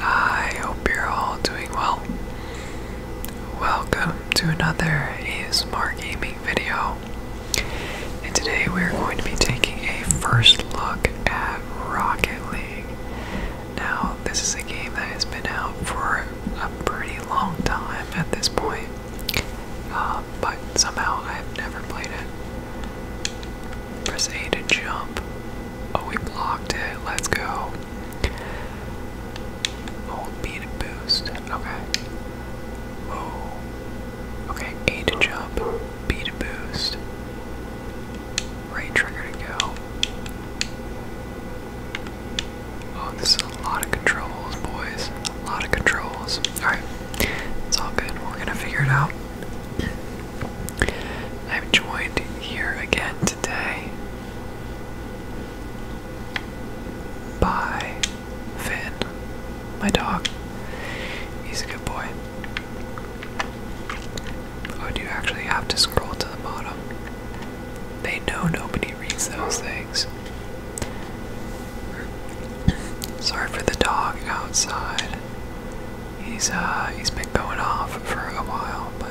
I hope you're all doing well. Welcome to another ASMR Gaming video. And today we're going to be taking a first look at Rocket League. Now, this is a game that has been out for a pretty long time at this point, uh, but somehow I've never played it. Press A to jump. Oh, we blocked it. Let's go. Hold B to boost. Okay. Whoa. Okay, A to jump, B to boost. Right trigger to go. Oh, this is a lot of controls, boys. A lot of controls. Alright. It's all good. We're gonna figure it out. I'm joined here again today Bye, Finn, my dog. He's a good boy. Oh, do you actually have to scroll to the bottom? They know nobody reads those things. Sorry for the dog outside. He's uh he's been going off for a while, but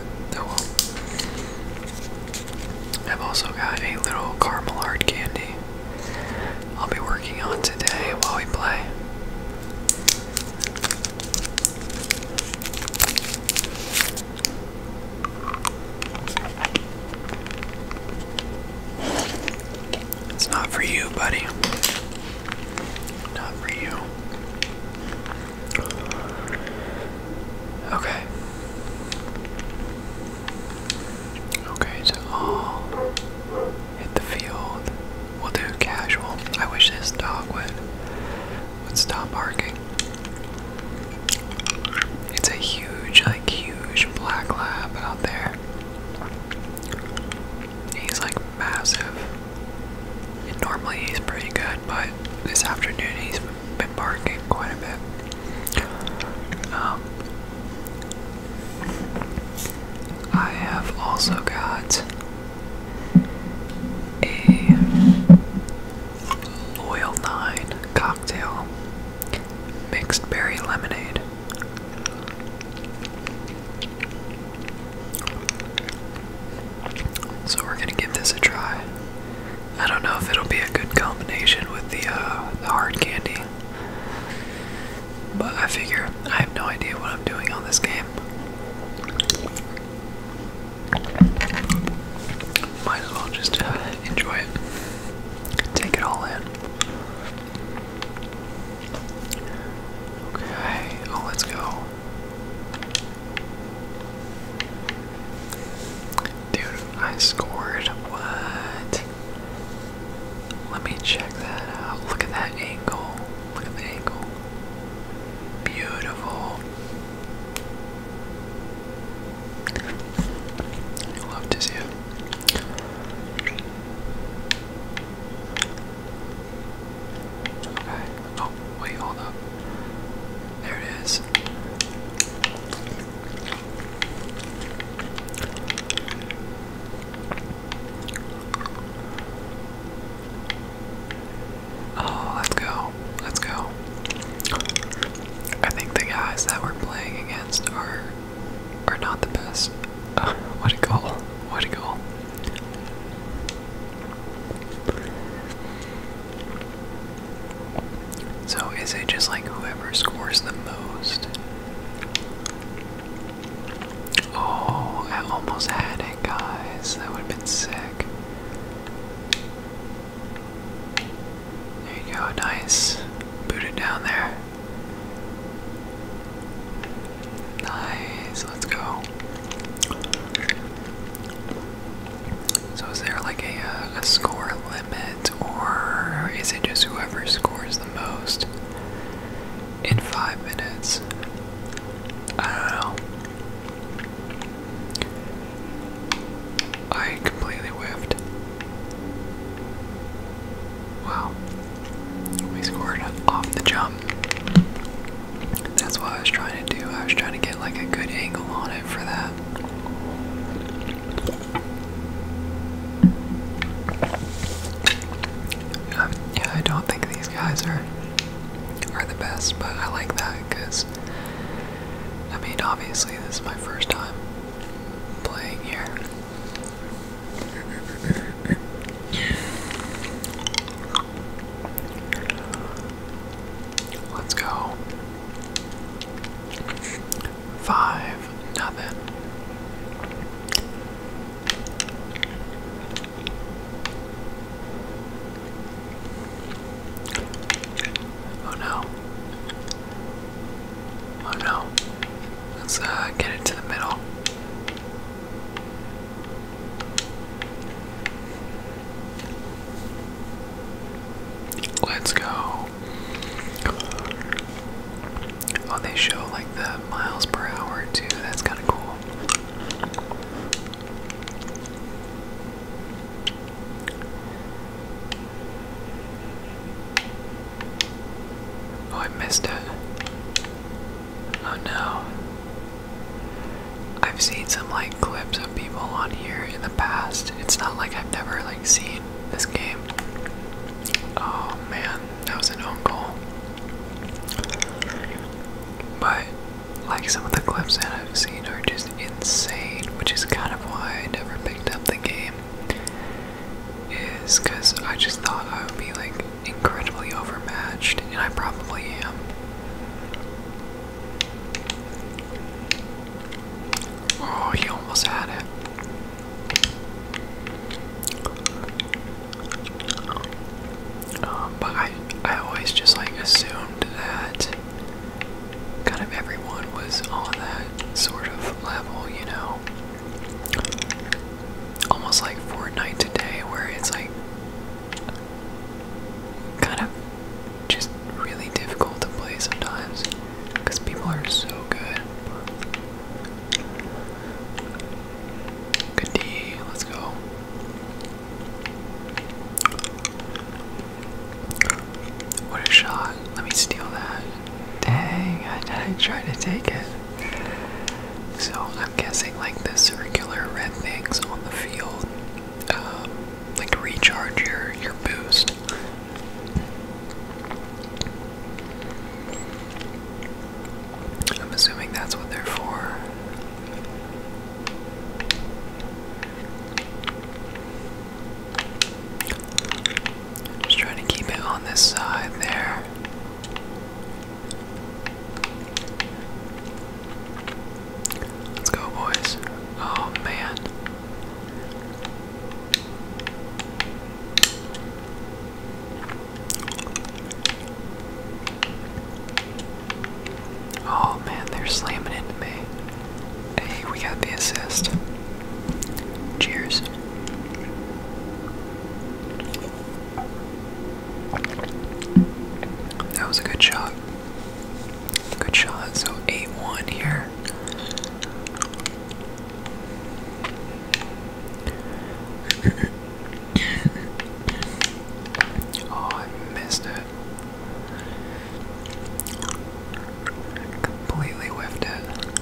I've also got a little caramel hard candy I'll be working on today while we play. It's not for you, buddy. Not for you. Okay. Okay, so uh, hit the field. We'll do casual. I wish this dog would would stop barking. It's a huge, like huge black lab out there. He's like massive normally he's pretty good, but this afternoon he's been barking quite a bit. Um, I have also got a Loyal 9 cocktail mixed berry lemonade. So we're gonna give this a try. I don't know if it'll be a good combination with uh, the hard candy, but I figure I have no idea what I'm doing on this game. Might as well just uh, enjoy it, take it all in. Okay. Oh, let's go. Dude, I scored. What? Let me check that out. Look at that angle. Look at the angle. Beautiful. love to see it. Okay. Oh, wait, hold up. There it is. Oh, let's go. Let's go. I think the guys that we're playing against are are not the best. what a goal. What a goal. So is it just like whoever scores the most? Oh, I almost had it, guys. That would have been sick. There you go, nice. Boot it down there. Nice, let's go. So is there like a, uh, a score limit or is it just whoever scores the most in five minutes? I don't know. I completely whiffed. Wow. We scored off the jump. Um, that's what I was trying to do. I was trying to get like a good angle on it for that. yeah, I don't think these guys are are the best, but I like that because I mean, obviously, this is my first time playing here. Let's go. Five, nothing. Oh no. Oh no. Let's uh, get it the middle. Let's go. Oh, they show like the miles per hour too. That's kind of cool. Oh, I missed it. Oh no. I've seen some like clips of people on here in the past. It's not like I've never like seen this game. Oh man, that was an own goal. But like some of the clips that I've seen are just insane, which is kind of why I never picked up the game. Is because I just thought I would be like incredibly overmatched, and I probably am. Oh, he almost had it. Um, but I, I always just like assumed that kind of everyone was on that sort of level, you know almost like Fortnite today, where it's like kind of just really difficult to play sometimes because people are so good. Good D, let's go. What a shot. Let me steal that. Dang, I, I tried to take it. So I'm guessing like the circular red things on the field, um, like recharge your your boost. I'm assuming that's what they're for. Just trying to keep it on this side there. Let's go, boys. Oh, man. Oh, man, they're slamming into me. Hey, we got the assist. Cheers. That was a good shot. Good shot. So 8 1 here. oh, I missed it. Completely whiffed it.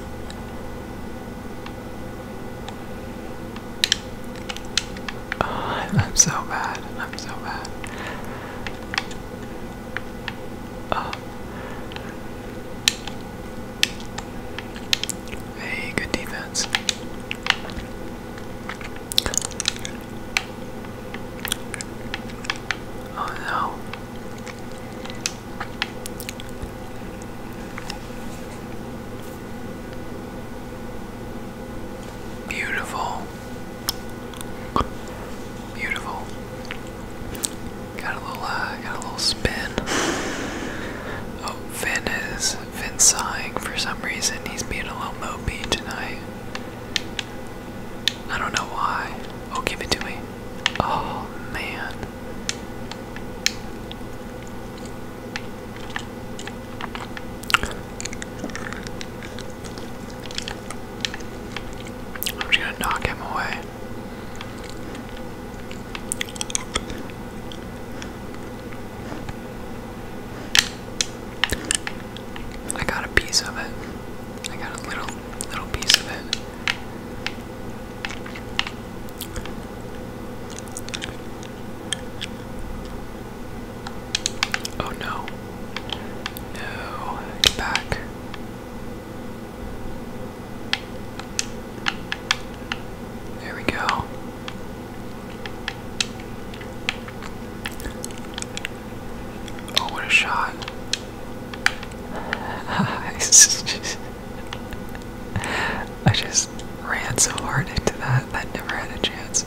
Oh, I'm so bad. I'm so bad. Oh. Hey, good defense. Oh no. Beautiful. Beautiful. Got a little, uh, got a little spin. Oh, Finn is, Finn's sighing for some reason. He's being a little mopey tonight. I don't know why. Oh, give it to me. Oh, man. I'm just gonna knock him away. I got a piece of it. I got a little little piece of it. Oh no. No, get back. There we go. Oh, what a shot. I just ran so hard into that that never had a chance.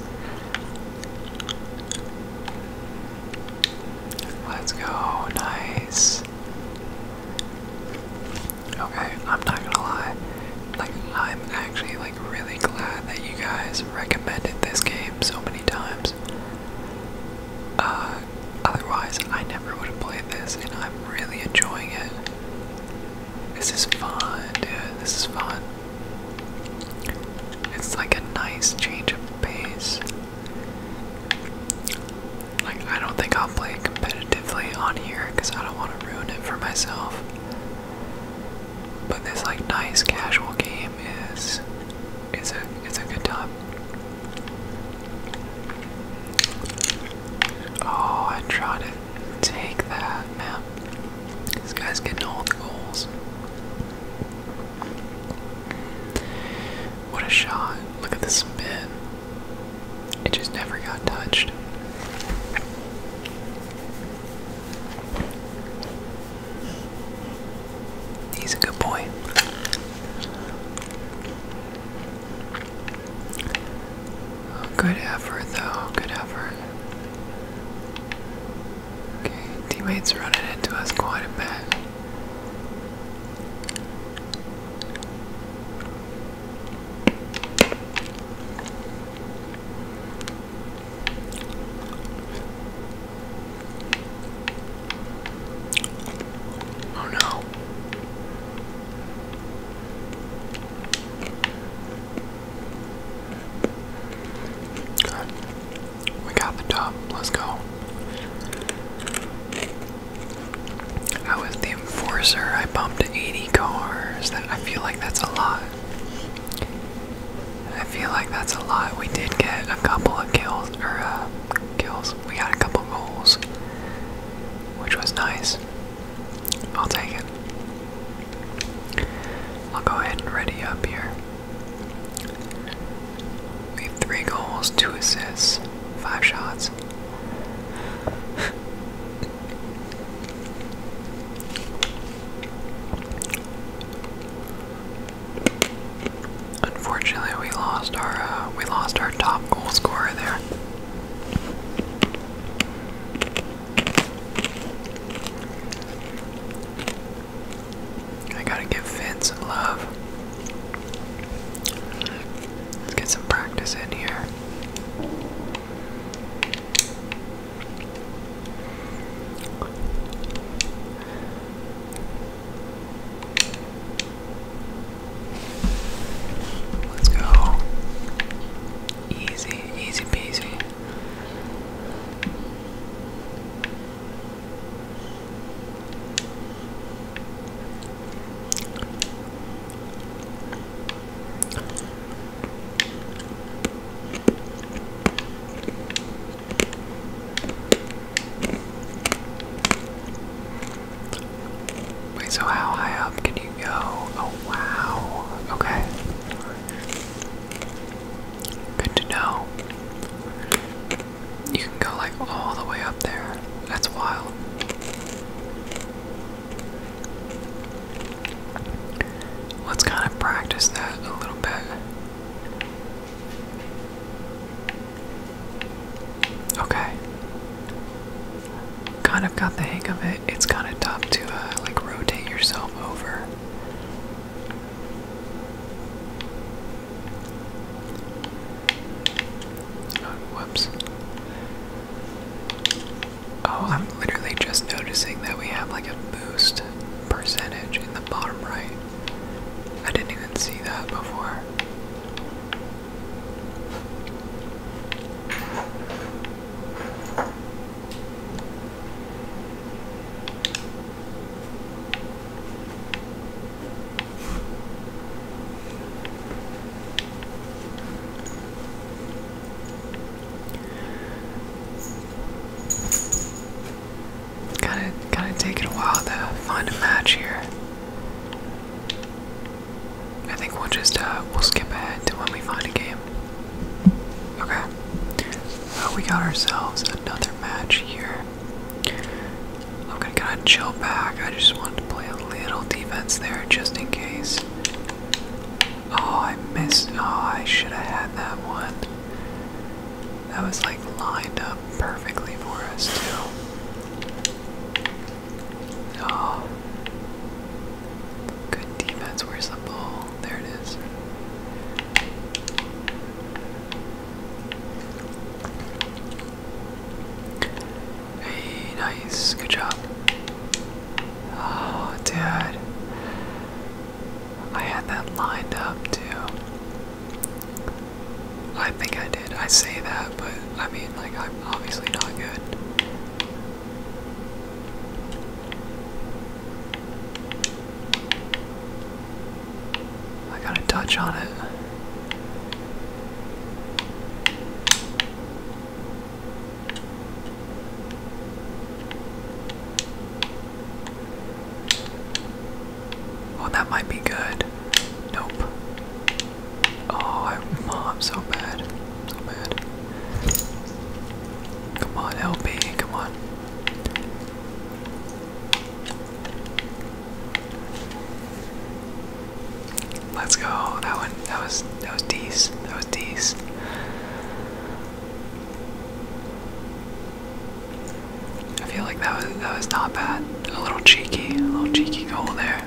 Let's go, nice. Okay, I'm not gonna lie. Like I'm actually like really glad that you guys recommended this game so many times. Uh otherwise I never would have played this and I'm really enjoying it. This is fun, dude. This is fun. It's like a nice change of pace. Like, I don't think I'll play competitively on here because I don't want to ruin it for myself. But this like nice casual game is is a it's a good time. Oh, I tried to take that, man. This guy's getting all the goals. What a shot. Look at the spin. It just never got touched. He's a good boy. Good effort, though. Good effort. Okay, teammates running into us quite a bit. Oh no. Good. We got the top. Let's go. I was the enforcer. I bumped 80 cars. I feel like that's a lot. I feel like that's a lot. We did get a couple of kills, or uh, kills. We got a couple goals, which was nice. I'll take it. I'll go ahead and ready up here. We have three goals, two assists, five shots. Unfortunately, we lost our uh, we lost our top goal scorer there. I gotta give Vince some love. Let's get some practice in here. Let's go. Easy, easy peasy so how high up can you go? Oh, wow. Okay. Good to know. You can go like all the way up there. That's wild. Let's kind of practice that a little bit. Okay. Kind of got the hang of it. It's kind of tough to uh, like rotate yourself over. Oh, whoops. Oh, I'm literally just noticing that we have like a boost percentage in the bottom right. I didn't even see that before. Gotta gotta take it a while to find a match here. I think we'll just uh we'll skip ahead to when we find a game. Okay. Uh, we got ourselves another match here. I'm gonna kinda chill back. I just wanted to play a little defense there just in case. Oh, I missed. Oh, I should have had that one. That was like lined up perfectly for us, too. Oh. Good defense. Where's the ball? There it is. Hey, nice. Good job. Oh, dad. I had that lined up too. I think I did. I say that, but I mean, like, I'm obviously not good. I got a touch on it. Oh, that might be good. Nope. Oh, I'm so bad. So bad. Come on, help me. Come on. Let's go. That one. That was. That was D's. That was D's. I feel like that was that was not bad. A little cheeky, a little cheeky goal there.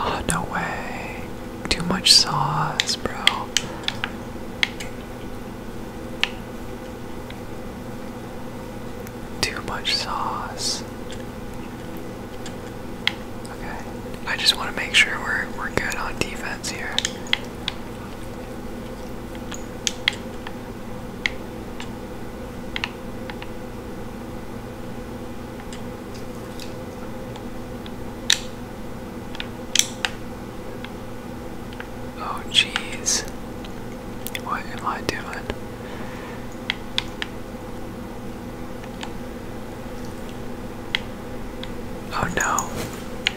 Oh, no way. Too much sauce, bro. Too much sauce. Okay. I just want to make sure we're we're good on defense here. Oh, jeez. What am I doing? Oh no.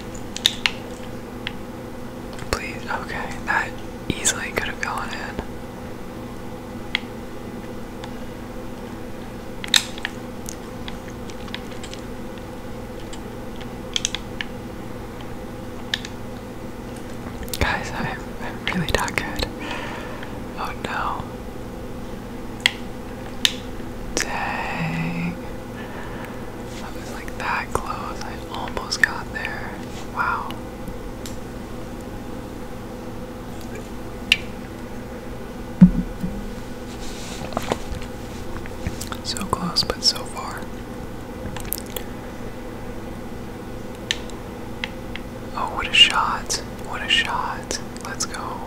Please, okay, that easily could have gone in. Guys, I'm, I'm really not good. Oh no. Dang. I was like that close. I almost got there. Wow. So close, but so far. Oh, what a shot! What a shot! Let's go.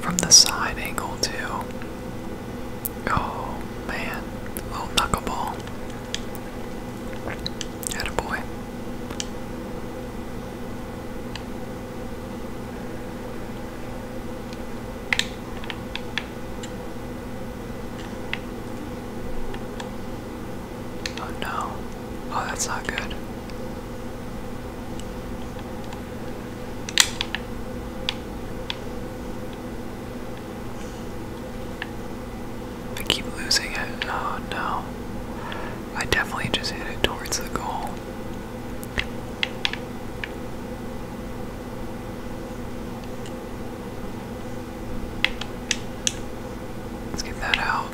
From the side angle, too. Oh, man. Little oh, knuckleball. Attaboy. Oh no. Oh, that's not good. I keep losing it. Oh no. I definitely just hit it towards the goal. Let's get that out.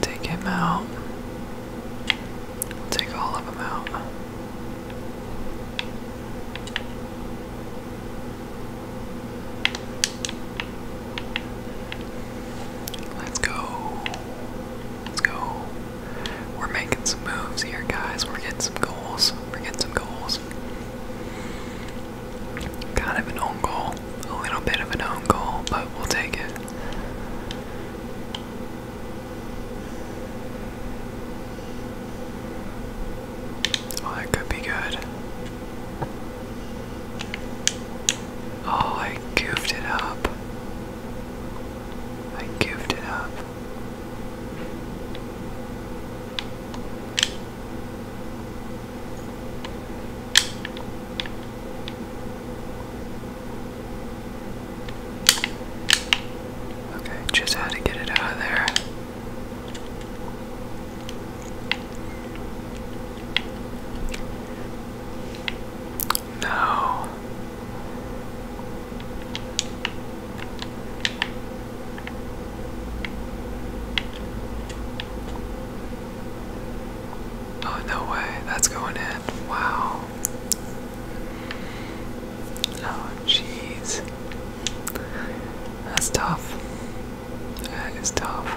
Take him out. Take all of them out. Let's go. Let's go. We're making some moves here, guys. We're getting some goals. We're getting some goals. Kind of an own goal. A little bit of an own goal, but we'll take it. Oh, that could be good. Oh, I goofed it up. I goofed it up. Okay, just had to get it out of there. No. Oh, no way, that's going in. Wow. Oh, jeez. That's tough. That is tough.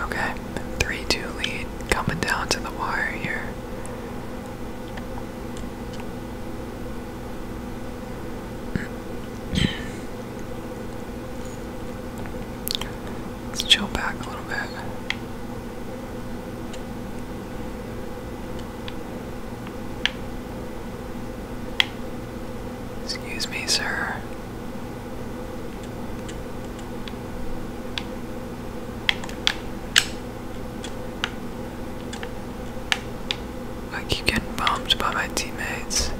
Okay, 3 2 lead coming down to the wire here. Let's chill back a little bit. Excuse me, sir. I keep getting bumped by my teammates.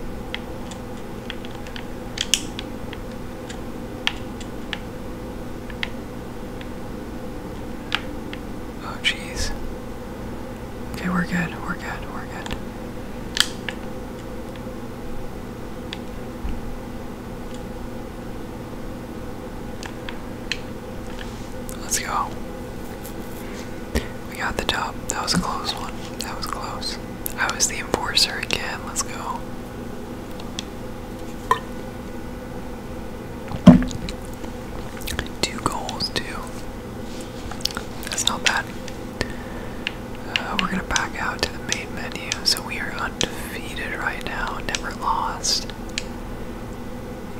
Oh, jeez. Okay, we're good, we're good, we're good. Let's go. We got the top. That was a close one. That was close. I was the enforcer again. Let's go. Two goals, two. That's not bad. Uh, we're gonna back out to the main menu, so we are undecided undefeated right now, never lost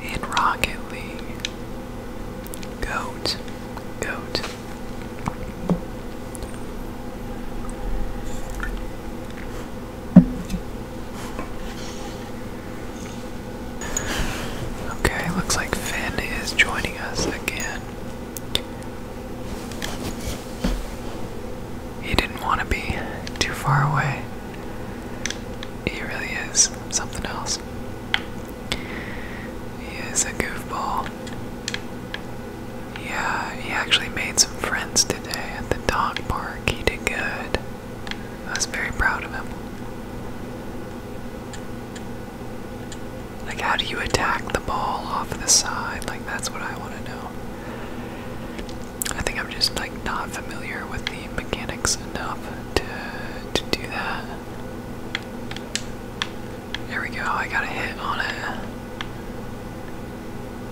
in Rocket League. Goat. Goat. Okay, looks like Finn is joining us again. He didn't want to be too far away. He really is something else. He is a goofball. Yeah, he actually made some friends today at the dog park. He did good. I was very proud of him. Like, how do you attack the ball off the side? Like, that's what I want to know. I think I'm just like not familiar with the mechanics enough to to do that. There we go. I got a hit on it.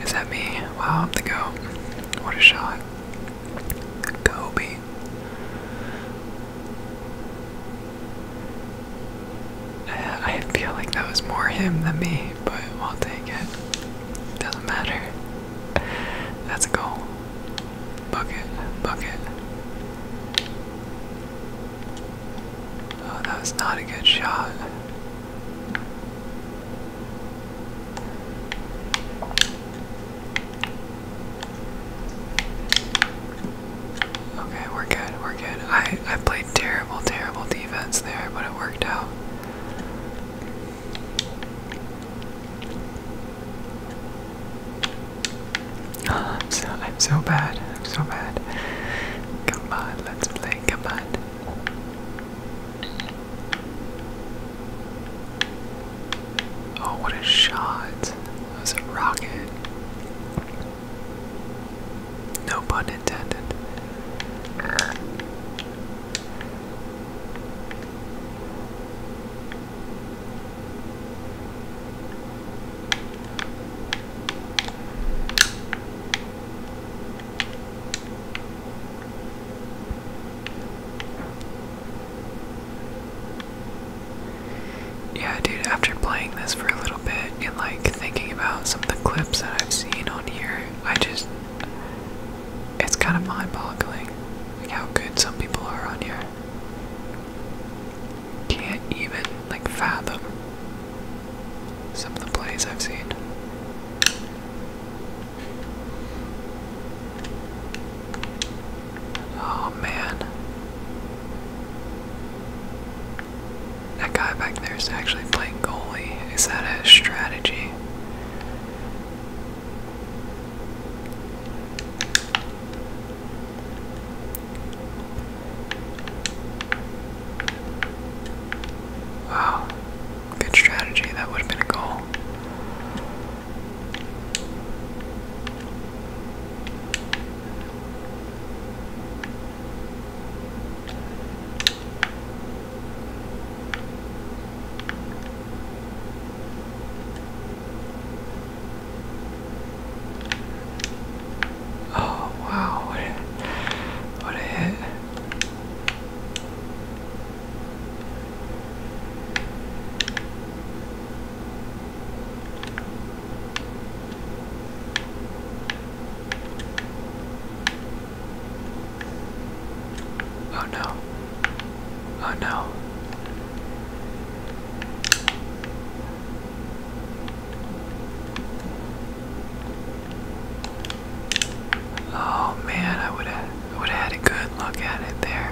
Is that me? Wow, I'm the go. What a shot. Kobe. I feel like that was more him than me but we'll take it. Doesn't matter. That's a goal. Bucket, bucket. Oh, that was not a good shot. Okay, we're good, we're good. I I played terrible, terrible defense there, but it worked out. Oh, I'm so I'm so bad. I'm so bad. Come on, let's play. Come on. Oh, what a shot! That was a rocket. No pun intended. Yeah, dude, after playing this for a little bit and like thinking about some of the clips that I've seen on here. I just it's kind of mind-boggling like how good some people are on here. Can't even like fathom some of the plays I've seen. Oh man. That guy back there is actually playing goalie. Is that a strategy? Wow. Good strategy. That would have been a goal. Oh wow, what a, what a hit. Oh no. Oh no. Oh man, I would have would have had a good look at it there.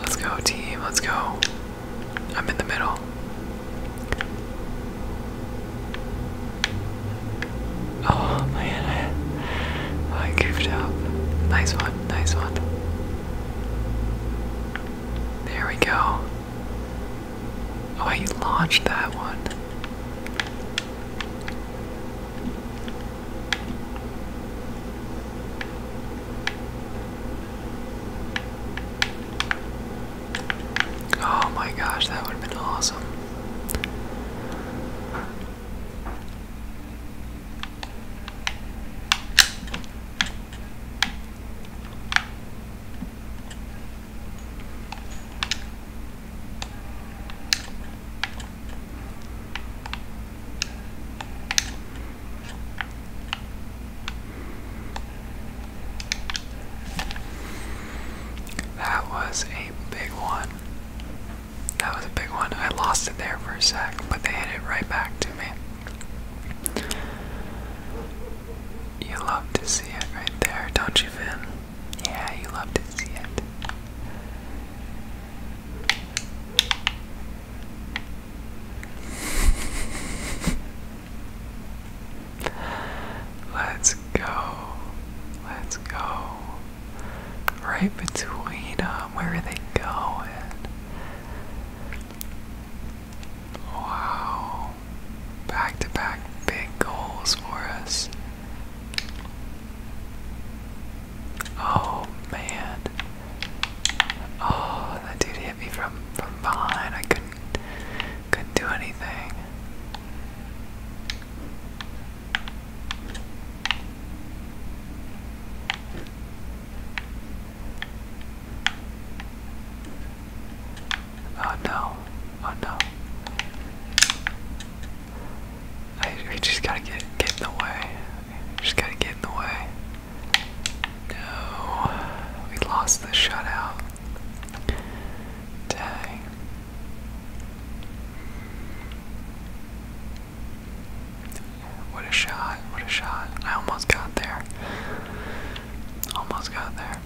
Let's go team, let's go. I'm in the middle. Oh man, I, goofed up. Nice one, nice one. There we go. Oh, I launched that one. Oh my gosh, that would have been awesome. That was a big one. That was a big one. I lost it there for a sec, but they hit it right back to me. You love to see it right there, don't you, Vin? Yeah, you love to see it. Let's go. Let's go. Right between them. Um, where are they going? Wow. Back to back big goals for us. Oh man. Oh, that dude hit me from from behind. I couldn't couldn't do anything. Oh no. Oh no. I we just gotta get get in the way. just gotta get in the way. No, we lost the shutout. Dang. What a shot, what a shot. I almost got there. Almost got there.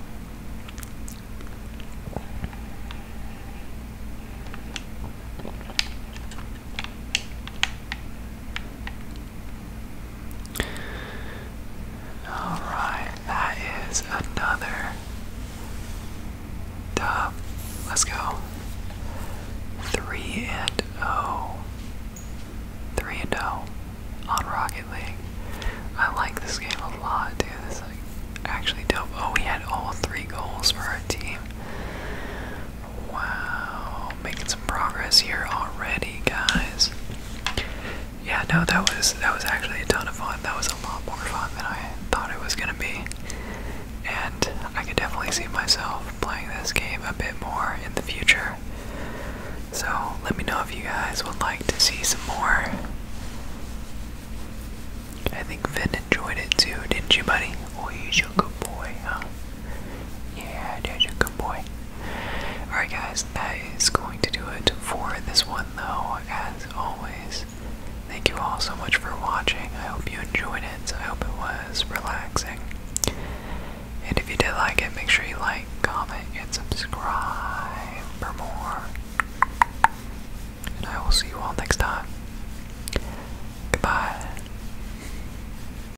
Alright, that is another dub. Let's go. Three and O, three and O on Rocket League. I like this game a lot, dude. This is like actually dope. Oh, we had all three goals for our team. Wow, making some progress here already, guys. Yeah, no, that was that was actually a ton of fun. That was a lot more fun than I thought it was gonna be. And I could definitely see myself playing this game a bit more in the future. So let me know if you guys would like to see some more. I think Vin enjoyed it too, didn't you, buddy? Oh, he's a good boy, huh? Yeah, you're a good boy. Alright, guys, that is going to do it for this one, though, as always. Thank you all so much for watching. I hope you enjoyed it. I hope it was relaxing. And if you did like it, make sure you like, comment, and subscribe for more. And I will see you all next time. Goodbye.